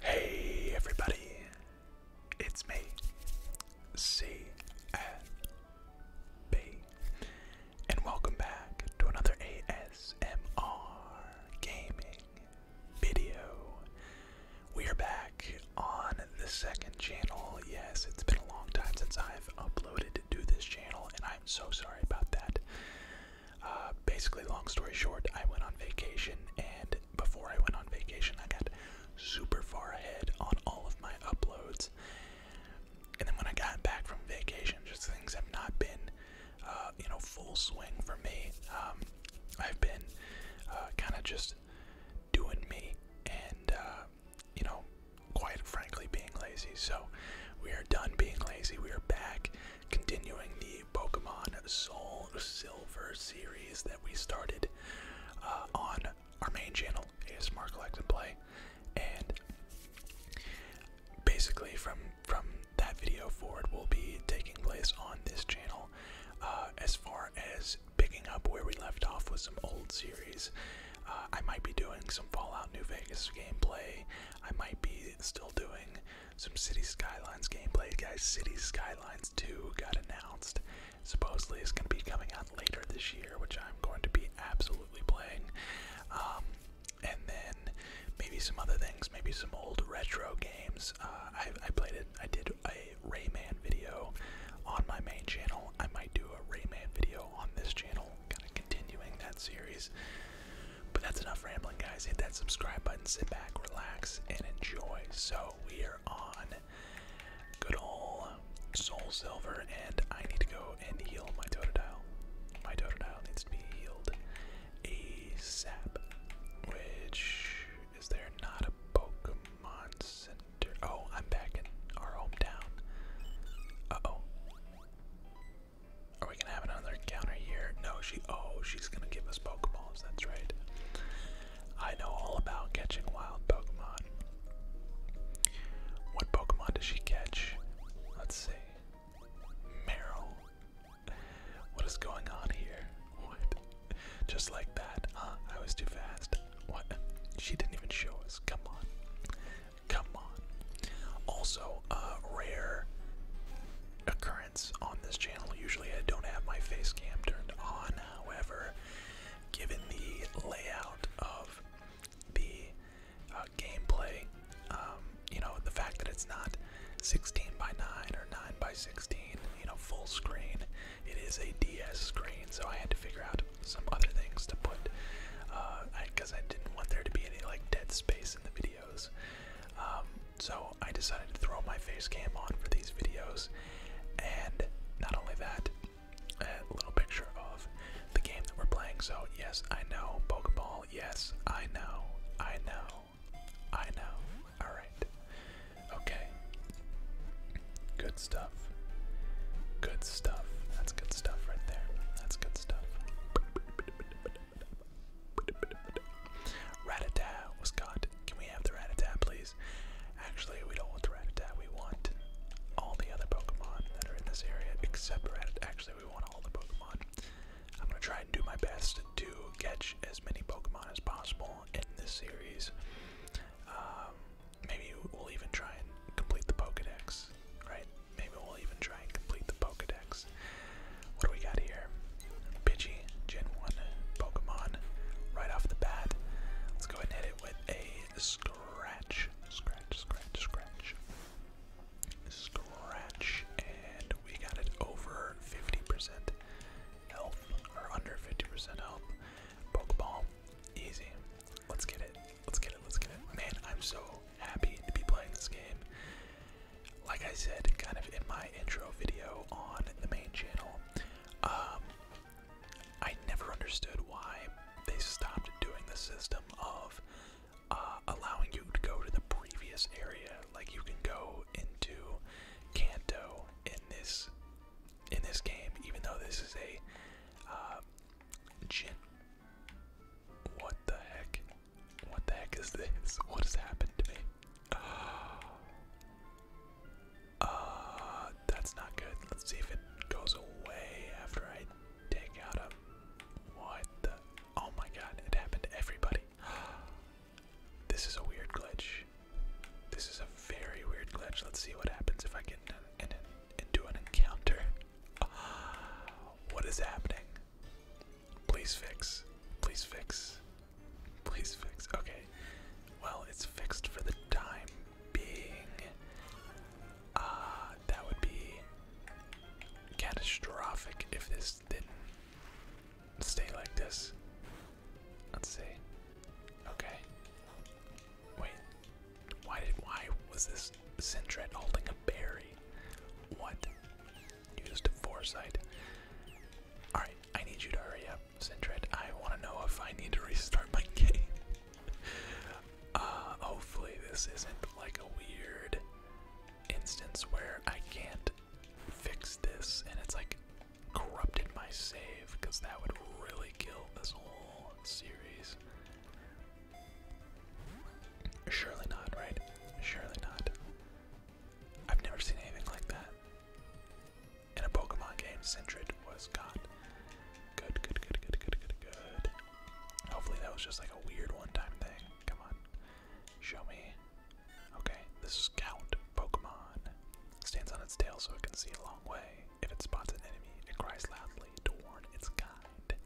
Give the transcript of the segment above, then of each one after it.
Hey everybody, it's me, CNB, and welcome back to another ASMR gaming video. We are back on the second channel. Yes, it's been a long time since I've uploaded to this channel, and I'm so sorry sorry about that. Uh, basically, long story short, I went on vacation, and before I went on vacation, I got super far ahead on all of my uploads. And then when I got back from vacation, just things have not been, uh, you know, full swing for me. Um, I've been uh, kind of just doing me, and you know, quite frankly, being lazy. So we are done being lazy. We are back continuing the Pokemon Soul Silver series that we started uh, on our main channel, ASMR Collect and Play. And basically, from from that video forward, will be taking place on this channel uh, as far as picking up where we left off with some old series uh, I might be doing some Fallout New Vegas gameplay. I might be still doing some City Skylines gameplay. Guys, City Skylines 2 got announced. Supposedly it's going to be coming out later this year, which I'm going to be absolutely playing. Um, and then maybe some other things, maybe some old retro games. Uh, I played it, I did a Rayman video on my main channel. I might do a Rayman video on this channel kind of continuing that series. But that's enough rambling, guys. Hit that subscribe button, sit back, relax, and enjoy. So we are on good old Soul Silver, and I need to go and heal my Totodile. My Totodile needs to be healed ASAP, which is there not a Pokemon Center? Oh, I'm back in our hometown. Uh oh. Are we gonna have another counter here? No, she. Oh, she's gonna give us Pokeballs. That's right. I know all about catching wild Pokemon. What Pokemon does she catch? Let's see. Meryl. What is going on here? What? Just like that, I was too fast. What? She didn't even show us. Come on. Come on. Also, uh, rare occurrence on this channel. Usually I don't have my face cam turned on. However, given the layout of the uh, gameplay, um, you know, the fact that it's not 16 by 9 or 9 by 16, you know, full screen, it is a DS screen, so I had to figure out some other things to put, because uh, I, didn't want there to be any like dead space in the videos. Um, so I decided to throw my face cam on for these videos, and not only that, a little picture of the game that we're playing. So yes, I know Pokeball. Yes, I know. I know. I know. All right. Okay. Good stuff. Good stuff. That's good stuff right there. That's good stuff. Ratata was caught. Can we have the Ratata, please? Actually, we don't want the Ratata. We want all the other Pokemon that are in this area, except Ratata. Actually, we want all the Pokemon. I'm gonna try and do my best to catch as many Pokemon as possible in this series. Um, maybe we'll even try and complete the Pokedex, right? Maybe we'll even try and complete the Pokedex. What do we got here? Pidgey, Gen 1 Pokemon, right off the bat. Let's go ahead and hit it with a scratch. Scratch, scratch, scratch. Scratch, and we got it over 50% health, or under 50% health. Pokeball, easy. Let's get it. Let's get it, let's get it. Man, I'm so happy to be playing this game. Like I said, kind of in my intro video on the main channel, um, I never understood why they stopped doing the system of uh, allowing you to go to the previous area. Like you can go into Kanto in this in this game, even though this is a uh, Gen what the heck? What the heck is this? What has happened to me? Uh, that's not good. Let's see if it goes away after I take out a what the Oh my god, it happened to everybody. This is a weird glitch. This is a very weird glitch. Let's see what happens if I get in it into an encounter. What is happening? Please fix. Please fix. Please fix. Okay. Well, it's fixed for the time being. Uh, that would be catastrophic if this didn't stay like this. Let's see. Okay. Wait. Why did why was this Sentret holding a berry? What? Used foresight. Alright, I need you to hurry up, Sentret. I wanna know if I need to restart my game. uh hopefully this isn't like a weird instance where I can't fix this and it's like corrupted my save because that would really kill this whole series. Surely not, right? Surely not. I've never seen anything like that. In a Pokemon game, Sentret was gone. Good, good, good, good, good, good, good. Hopefully that was just like a weird one-time thing. Come on. Show me. Okay, this scout Pokemon stands on its tail so it can see a long way. If it spots an enemy, it cries loudly to warn its kind.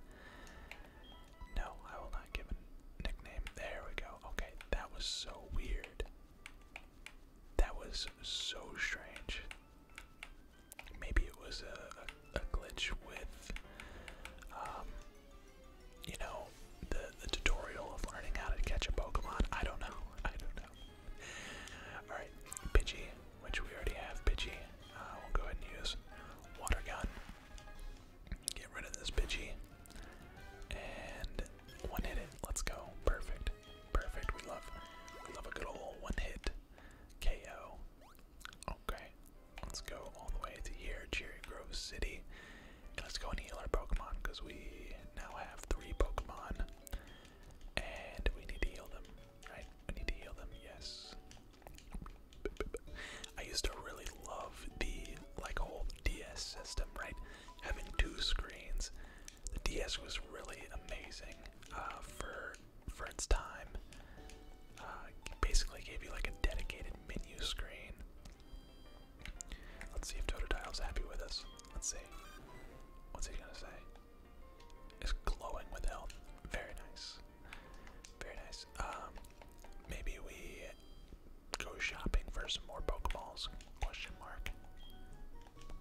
No, I will not give a nickname. There we go. Okay, that was so weird. That was so strange. Maybe it was a, glitch with, um, you know, the, the tutorial of learning how to catch a Pokemon. I don't know. I don't know. Alright, Pidgey which we already have Pidgey. Uh, we'll go ahead and use Water Gun. Get rid of this Pidgey. And one hit Let's go. Perfect. Perfect. We love we love a good old one hit KO. Okay. Let's go all the way to here, Cherry Grove City. let's go and heal our Pokemon, because we now have three Pokemon. And we need to heal them, right? We need to heal them, yes. I used to really love the like whole DS system, right? Having two screens. The DS was really amazing uh, for for its time. Uh, basically gave you like a dedicated menu screen. Let's see if Totodile's happy with us. Let's see. What's he gonna say? Is glowing with health. Very nice. Very nice. Um, maybe we go shopping for some more Pokeballs? Question mark.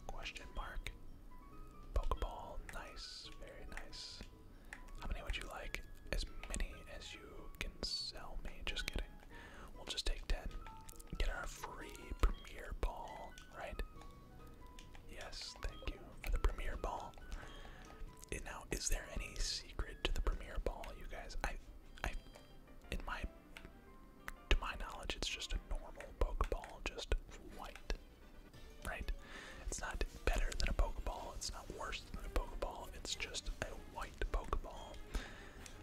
Question mark. Pokeball, nice, very nice. How many would you like? As many as you can sell me. Just kidding. We'll just take ten. Get our free Premier Ball, right? Yes, thank you for the premiere ball. And now, is there any secret to the premiere ball, you guys? I, I, in my, to my knowledge, it's just a normal Pokeball, just white, right? It's not better than a Pokeball. It's not worse than a Pokeball. It's just a white Pokeball.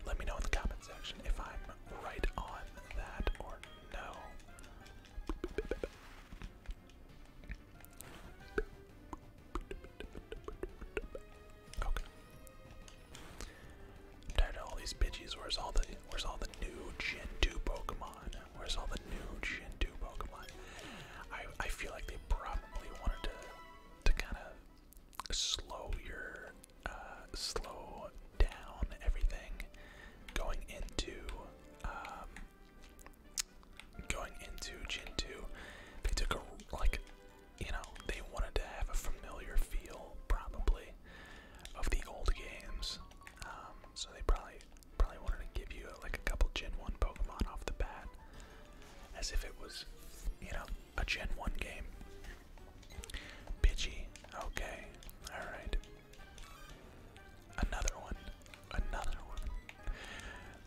Let me know in the comment section if I'm right on that or no tired of all these bitches. Where's all the where's all the new Gen 2 Pokemon? Where's all the new Gen 2 Pokemon? I I feel like they probably wanted to to kind of slow your uh, slow down everything going into um, going into Gen 2, they took a, like, you know, they wanted to have a familiar feel, probably, of the old games. Um, so they probably probably wanted to give you, uh, like, a couple Gen 1 Pokemon off the bat, as if it was, you know, a Gen 1 game. Bitchy. Okay. Alright. Another one. Another one.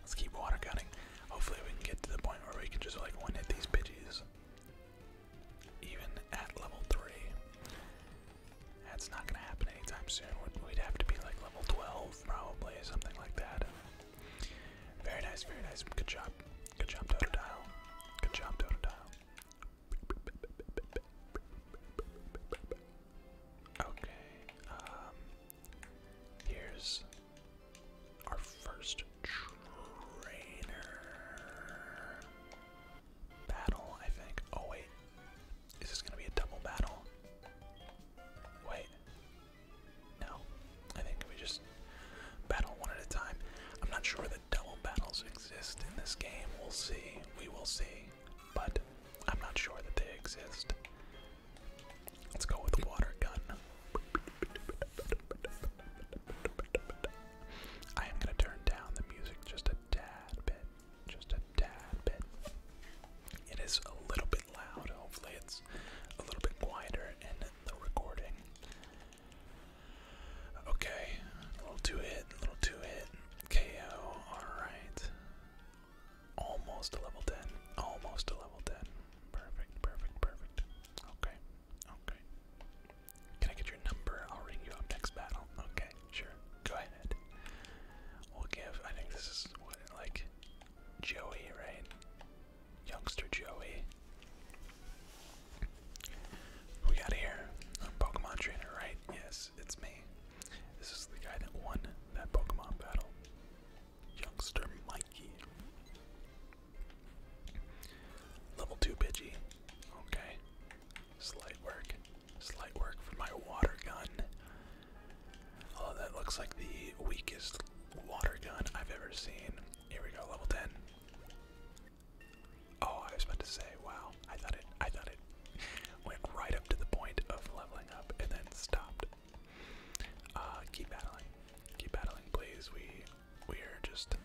Let's keep water cutting. Hopefully we can get to the point where we can just like one hit these bitches. Even at level 3. That's not gonna happen anytime soon. We'd have to be like level 12 probably, something like that. Very nice, very nice. Good job. Good job, Totodile. Good job, Totodile. Okay, um, Here's our first trainer battle, I think. Oh, wait. Is this going to be a double battle? Wait. No. I think we just battle one at a time. I'm not sure that double battles exist in this game. We'll see. We will see but I'm not sure that they exist. Let's go with water gun. I am going to turn down the music just a tad bit. Just a tad bit. It is a little bit loud. Hopefully, it's a little bit quieter in the recording. Okay, a little two hit, a little two hit. KO, alright. Almost a level 10. Almost a level 10. Perfect, perfect, perfect. Okay, okay. Can I get your number? I'll ring you up next battle. Okay, sure. Go ahead. We'll give, I think this is what, like, Joey, right? Youngster Joey. We got here. Pokemon Trainer, right? Yes, it's me. This is the guy that won that Pokemon battle. Youngster Mikey. Level 2 Pidgey. Okay. Slight work. Slight work for my water gun. Oh, that looks like the weakest water gun I've ever seen. Here we go, level 10. Oh, I was about to say, wow. I thought it I thought Went right up to the point of leveling up and then stopped. Uh, keep battling. Keep battling, please. We we are just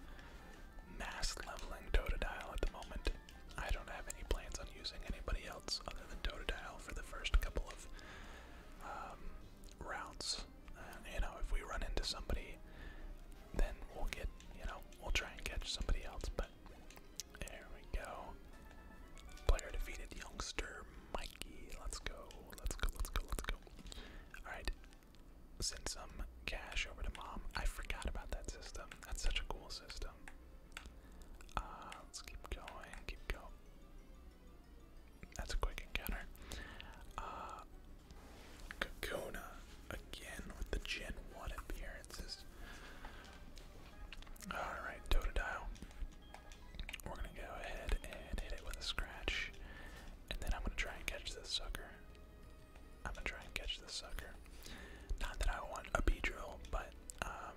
mass leveling Totodile at the moment. I don't have any plans on using anybody else other than Totodile for the first couple of um, routes. Uh, you know, if we run into somebody, then we'll get, you know, we'll try and catch somebody else, but there we go. Player defeated youngster Mikey. Let's go. Let's go. Let's go. Let's go. Alright. Send some cash over to mom. I forgot about that system. That's such a cool system. Uh, let's keep going. Keep going. That's a quick encounter. Uh, Kakuna again with the Gen 1 appearances. Alright, Totodile. We're gonna go ahead and hit it with a scratch, and then I'm gonna try and catch this sucker. I'm gonna try and catch this sucker. Not that I want a B drill, but um,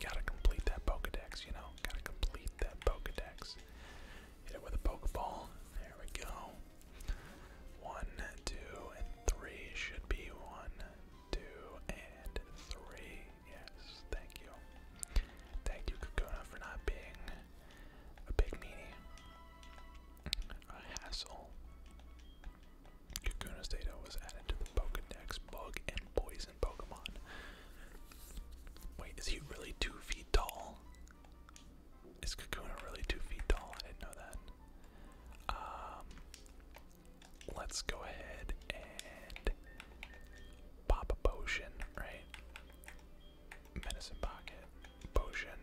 gotta complete that Pokedex, you know? Gotta complete that Pokedex. Hit it with a Pokeball. There we go. One, two, and three should be one, two, and three. Yes, thank you. Thank you, Kokona, for not being a big meanie. A hassle. Kokona's data was added to the Pokedex bug and poison Pokemon. Wait, is he really two feet tall? Is Kakuna really two feet tall? I didn't know that. Um, Let's go ahead and pop a potion, right? Medicine pocket, potion,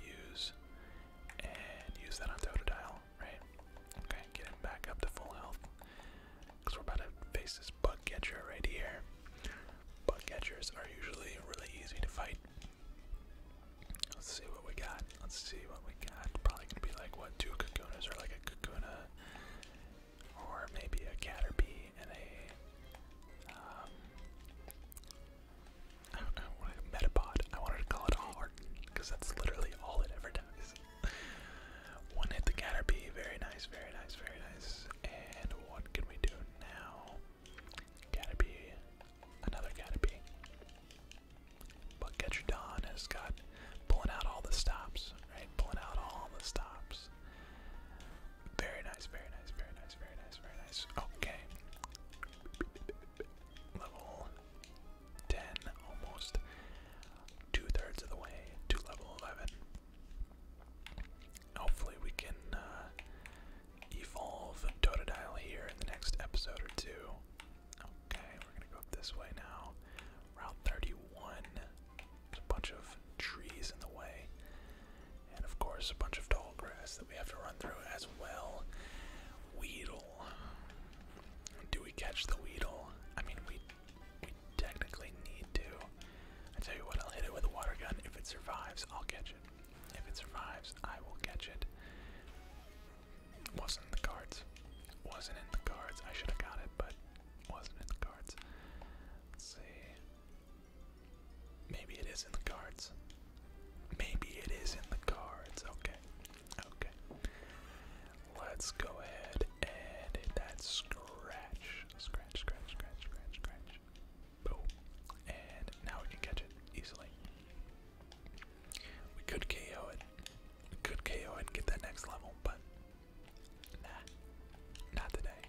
use, and use that on Totodile, right? Okay, get him back up to full health. Because we're about to face this bug catcher right here. Bug catchers are usually really easy to fight. Let's see what we got. Let's see what we got. Probably gonna be like what two kakunas or like a kakuna, or maybe a caterpie and um, a metapod. I wanted to call it a heart because that's literally all it ever does. one hit the caterpie, very nice, very nice, very nice. And what can we do now? Caterpie, another caterpie. But Getradon has got pulling out all the stops, right? Pulling out all the stops. Very nice, very nice, very nice, very nice, very nice. Okay. Level 10, almost two thirds of the way to level 11. Hopefully, we can uh, evolve Totodile here in the next episode or two. Okay, we're gonna go up this way now. Route 31. There's a bunch of trees in the way. And of course, a bunch of tall grass that we have to run through as well. Weedle. Do we catch the Weedle? I mean, we, we technically need to. I tell you what, I'll hit it with a water gun. If it survives, I'll catch it. If it survives, I will catch it. Wasn't in the cards. Wasn't in the cards. I should have got it, but wasn't in the cards. Let's see. Maybe it is in the cards. Maybe it is in the cards. Okay. Okay. Let's go ahead and hit that scratch. Scratch, scratch, scratch, scratch, scratch. Boom. And now we can catch it easily. We could KO it could KO and get that next level, but nah, not today,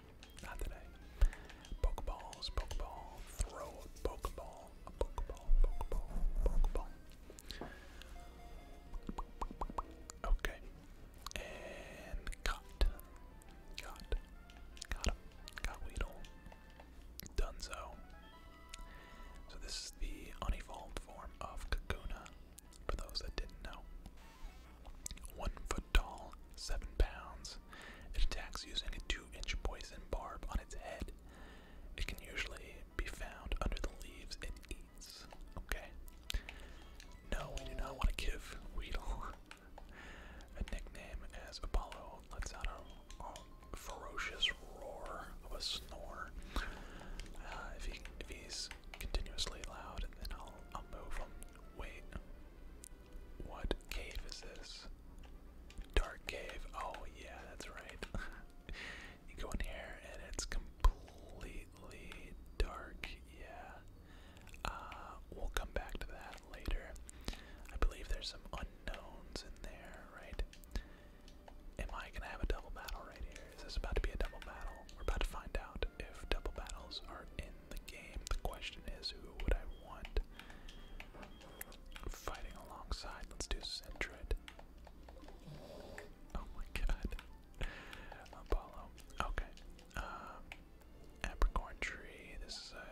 not today. Pokeballs, Pokeball, throw a Pokeball, a Pokeball, Pokeball, Pokeball. Okay, and got, got, got him, got Weedle. Dunzo, so this is the unevolved form of Kakuna, for those that didn't know. One foot tall, seven pounds. It attacks using a two-inch poison barb on its head. It can usually be found under the leaves it eats. Okay. No, we do not want to give Weedle a nickname as Apollo lets out a, a ferocious roar of a snore. Uh, if, he's continuously loud, then I'll, move him. Wait, what cave is this? Dark cave. Oh, yeah, that's right. you go in here and it's completely dark. Yeah. Uh, we'll come back to that later. I believe there's some unknowns in there, right? Am I gonna have a double battle right here? Is this about to be a double battle? We're about to find out if double battles are in the game. The question is, who would I want fighting alongside? Let's do Sentret. Oh my god. Apollo. Okay. Um, apricorn tree. This is a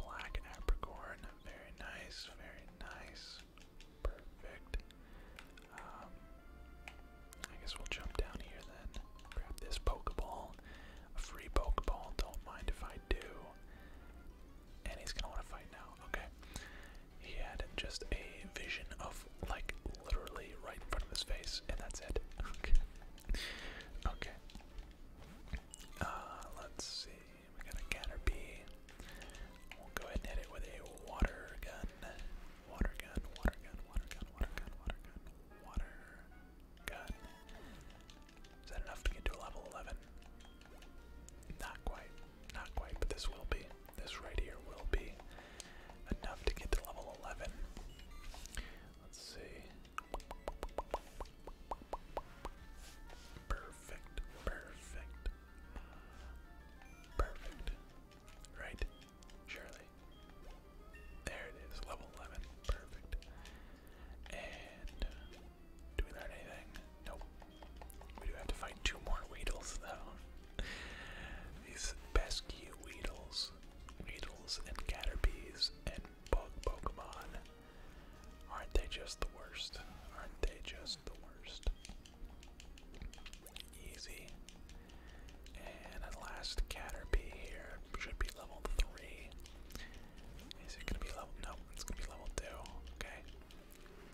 black apricorn. Very nice. Very nice. Perfect. Um, I guess we'll jump down here then. Grab this Pokeball. A free Pokeball. Don't mind if I do. And he's gonna want to fight now. Okay. He had just a vision of like literally right in front of his face, and that's it. Okay. okay. Uh, let's see we got a Caterpie. We'll go ahead and hit it with a water gun. Water gun, water gun, water gun, water gun, water gun, water gun. Is that enough to get to level 11? Not quite, not quite, but this will be. This right here will be enough to get to level 11. Let's see. Perfect, perfect, Perfect. Right? Surely. There it is, level 11. Perfect. And do we learn anything? Nope. We do have to find two more Weedles, though. These pesky Weedles, Weedles and Caterpies and Bug Pokemon. Aren't they just the worst? Aren't they just the worst? Easy. And last, Caterpie here should be level 3. Is it gonna be level? No, it's gonna be level 2. Okay.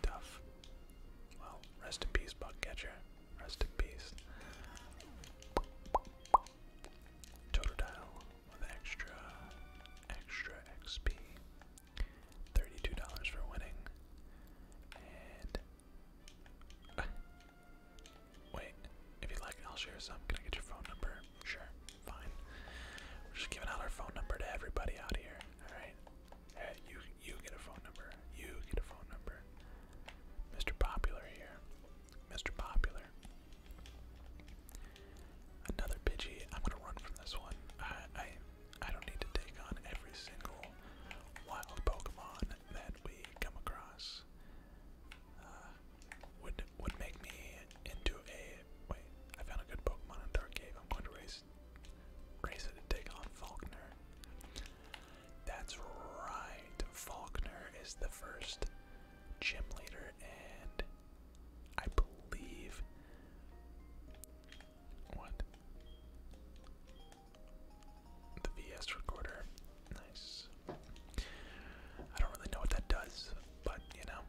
Tough. Well, rest in peace, Catcher. Rest in peace. Totodile with extra, extra XP. Thirty-two dollars for winning. And uh, wait, if you like, I'll share some. Can I get your phone number? Sure, fine. We're just giving out our phone number to everybody out here. All right. you you get a phone number. You get a phone number. Mr. Popular here. Mr. Popular. Another Pidgey. I'm gonna run from this one. I I don't need to take on every single wild Pokemon that we come across. Uh, would would make me into a wait. I found a good Pokemon in Dark Cave. I'm going to race race it to take on Faulkner. That's right. Faulkner is the first gym leader, and I believe what? The VS recorder. Nice. I don't really know what that does, but you know.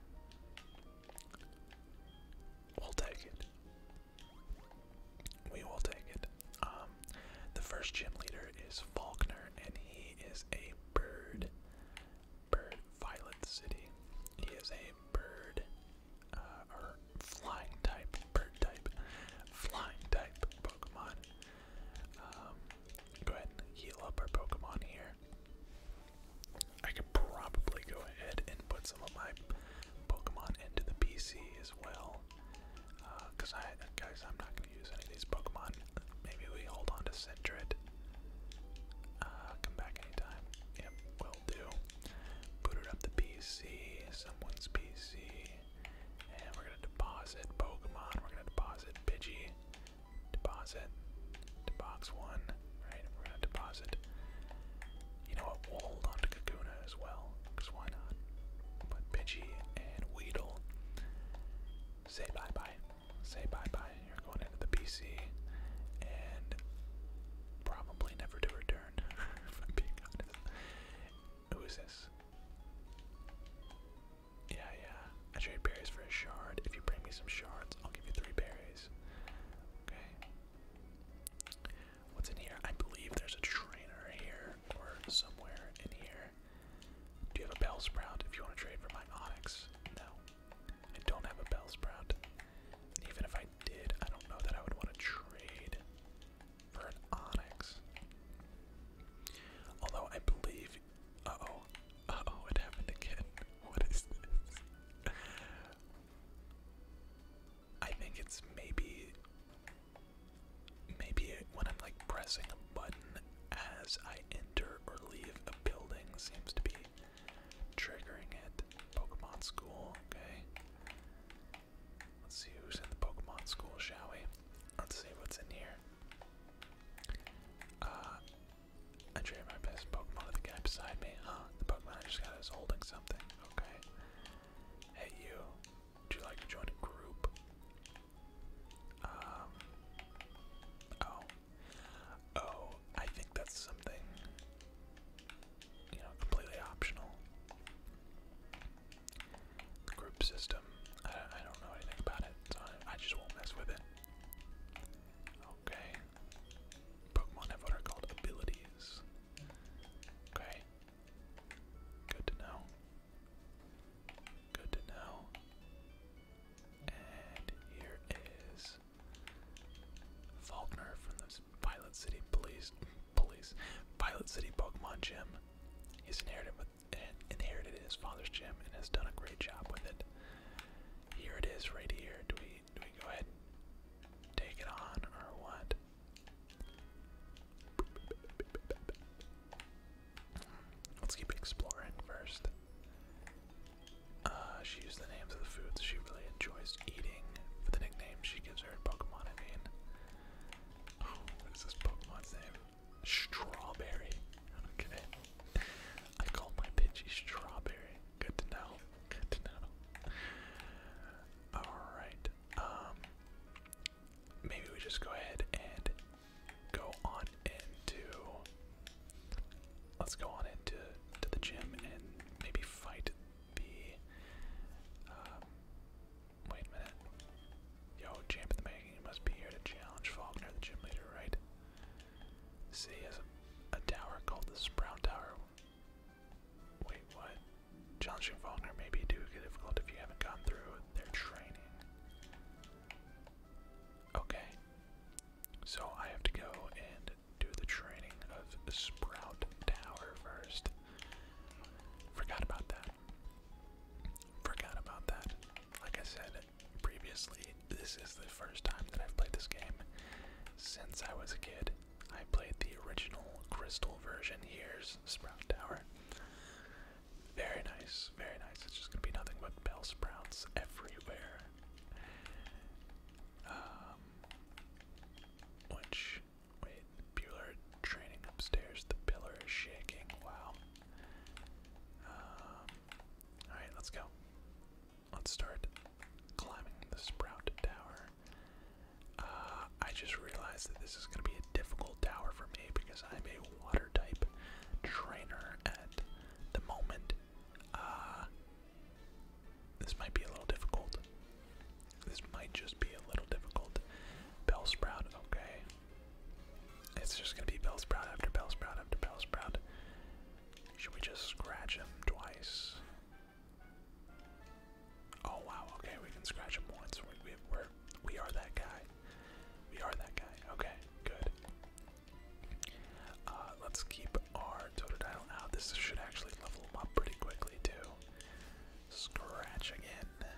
We'll take it. We will take it. Um, the first gym leader is Faulkner, and he is a bird. Bird Violet City. He is a bird, uh, flying type, bird type, flying type Pokemon. Um, go ahead and heal up our Pokemon here. I could probably go ahead and put some of my Pokemon into the PC as well. Because uh, I, guys, I'm not going to use any of these Pokemon. Maybe we hold on to Sentret. Uh, come back anytime. Yep, will do. Booted up the PC, someone's PC, and we're gonna deposit Pokemon. We're gonna deposit Pidgey, deposit box one, right? We're gonna deposit. You know what? We'll hold on to Kakuna as well, cause why not? But Pidgey and Weedle. Say bye bye. Say bye bye. You're going into the PC, and probably never to return. i Who is this? Yeah, yeah. I trade berries for a shard. If you bring me some shards, I'll give you three berries. Okay. What's in here? I believe there's a trainer here or somewhere in here. Do you have a bell sprout if you want to trade for my onyx? No. I don't have a bell sprout. even if I did, I don't know that I would want to trade for an Onyx. Although I believe, uh oh, uh oh, it happened again. What is this? I think it's maybe, maybe when I'm like pressing a button as I enter or leave a building seems to be triggering it. Pokemon School, okay. Let's see who's in the Pokemon School, shall we? Let's see what's in here. Uh, I traded my best Pokemon the guy beside me, huh? The Pokemon I just got is holding something, okay. Hey you, Do you like to join a group? Um, oh. Oh, I think that's something you know, completely optional. group system, I, don't know anything about it, so I just won't mess with it. Okay. Pokemon have what are called abilities. Okay. Good to know. Good to know. And here is Faulkner from the Pilot City Police Police Pilot City Pokemon Gym. He's inherited with inherited his father's gym and has done a great job with it. Here it is, right here. Do we do we go ahead and take it on or what? Let's keep exploring first. Uh, she used the names of the foods she really enjoys eating for the nickname she gives what is this Pokemon's name? Strawberry. Okay. I call my Pidgey Strawberry. Good to know. Good to know. Alright. Um, maybe we just go ahead and go on into let's go on into to the gym and maybe fight be. Um, wait a minute. Yo, champ in the making, must be here to challenge Faulkner, the gym leader, right? See, he a, a tower called the Sprout Tower. Wait, what? Challenging Faulkner may too difficult if you haven't gone through their training. Okay. So I have to go and do the training of Sprout Tower first. Forgot about that. Forgot about that. Like I said previously, this is the first time that I've played this game since I was a kid. I played the original crystal version. Here's Sprout Tower. Very nice, very nice. It's just gonna be nothing but bell sprouts everywhere. Um, which Wait, Bueller training upstairs. The pillar is shaking. Wow. Um, alright, let's go. Let's start climbing the Sprout Tower. Uh, I just realized that this is going to be a difficult tower for me because I'm a water type trainer at the moment. Uh, this might be a little difficult. This might just be a little difficult. Bell sprout. okay. It's just gonna be bell sprout after bell sprout after bell sprout. Should we just scratch him twice? Oh wow, okay, we can scratch him once. We, are we are that guy. We are that guy. Okay, good. Uh, let's keep our Totodile out. This should actually level him up pretty quickly, too. Scratch again.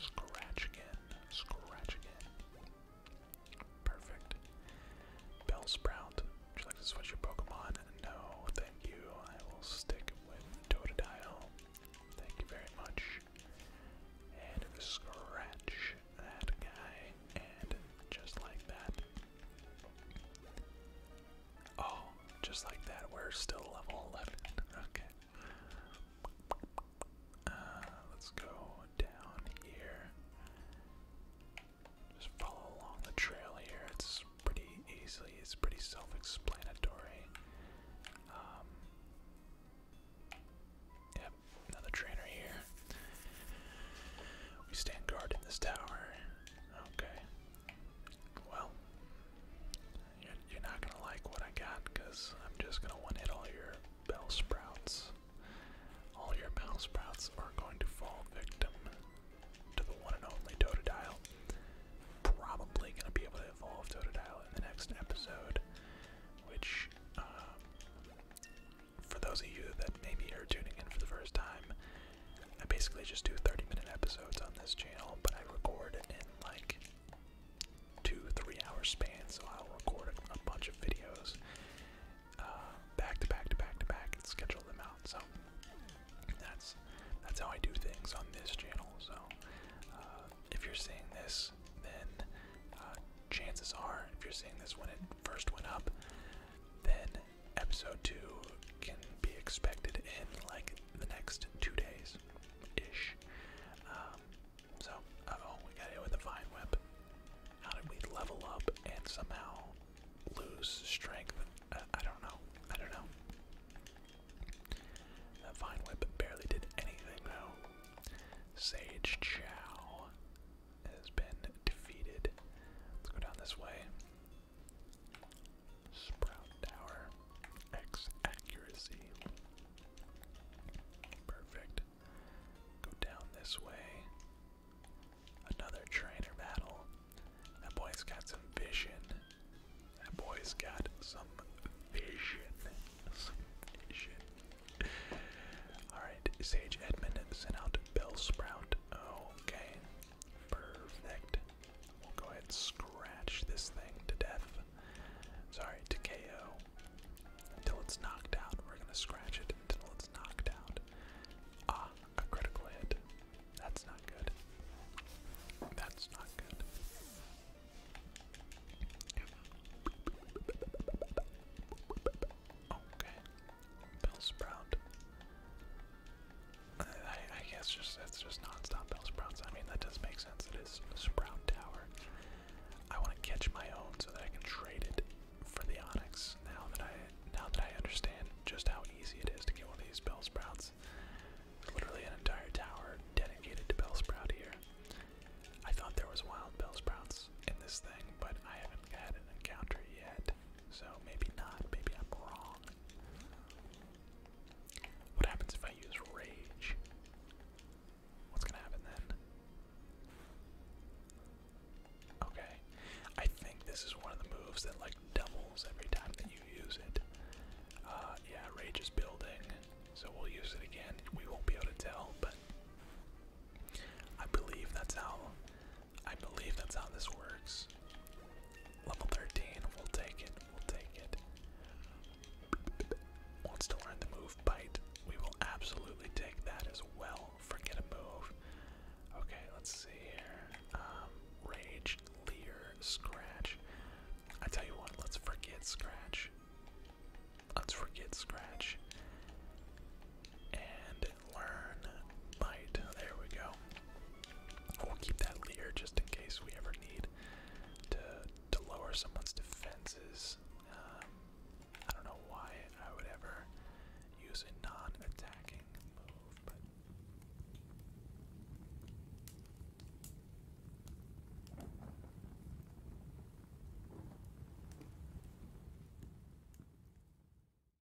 Scratch again. Scratch again. Perfect. Bell Would you like to switch your Pokemon? No, thank you. I will stick with Totodile. Thank you very much. And scratch that guy. And just like that, Oh, just like that, we're still level 11. Okay. Uh, let's go down here. Just follow along the trail here. It's pretty easily, it's pretty self-explanatory. Um, yep, another trainer here. We stand guard in this tower. Okay. Well, you're not gonna like what I got I'm just gonna one hit all your bell sprouts. All your bell sprouts are going to fall victim to the one and only Totodile. Probably gonna be able to evolve Totodile in the next episode, which, uh, for those of you that maybe are tuning in for the first time, I basically just do 30 minute episodes on this channel, but I record in like two, three hour span, so I'll record a, bunch of videos uh, back to back to back to back schedule them out. So that's that's how I do things on this channel. So uh, if you're seeing this, then uh, chances are, if you're seeing this when it first went up, then episode 2 can be expected in like the next two days ish. Um, so, oh, we got hit with a vine whip. How did we level up and somehow lose strength? Uh, I don't know. I don't know. That vine whip barely did anything though. Sage Chow has been defeated. Let's go down this way. Sprout Tower. X accuracy. Perfect. Go down this way. Another trainer battle. That boy's got some vision. That boy's got some vision. Some vision. Alright, Sage Edmund sent out Bell Sprout. Okay, Perfect. We'll go ahead and scratch this thing to death. Sorry, to KO. Until it's knocked out. We're gonna scratch it until it's knocked out. Ah, a critical hit. That's not good. That's not good. Okay, Bell Sprout. I, guess just that's just non-stop Bell Sprouts. I mean, that does make sense. It is a Sprout Tower. I want to catch my own so that I can trade it for the Onyx. Now that I now that I understand just how easy it is to get one of these Bell Sprouts, literally an entire tower dedicated to Bell Sprout here. I thought there was wild Bell Sprouts in this thing, but I have not haven't had yet, so maybe not. Maybe I'm wrong. What happens if I use rage? What's gonna happen then? Okay, I think this is one of the moves that like doubles every time that you use it. Uh, yeah, rage is building, so we'll use it again. We won't be able to tell, but I believe that's how I believe that's how this works. Level 13, we'll take it, we'll take it. Wants to learn the move bite. We will absolutely take that as well. Forget a move. Okay, let's see here. Um, rage, leer, scratch. I tell you what, let's forget scratch. Let's forget scratch. And learn bite. There we go. We'll keep that leer just in case we ever need to to lower someone's defenses. Um, I don't know why I would ever use a non-attacking move, but.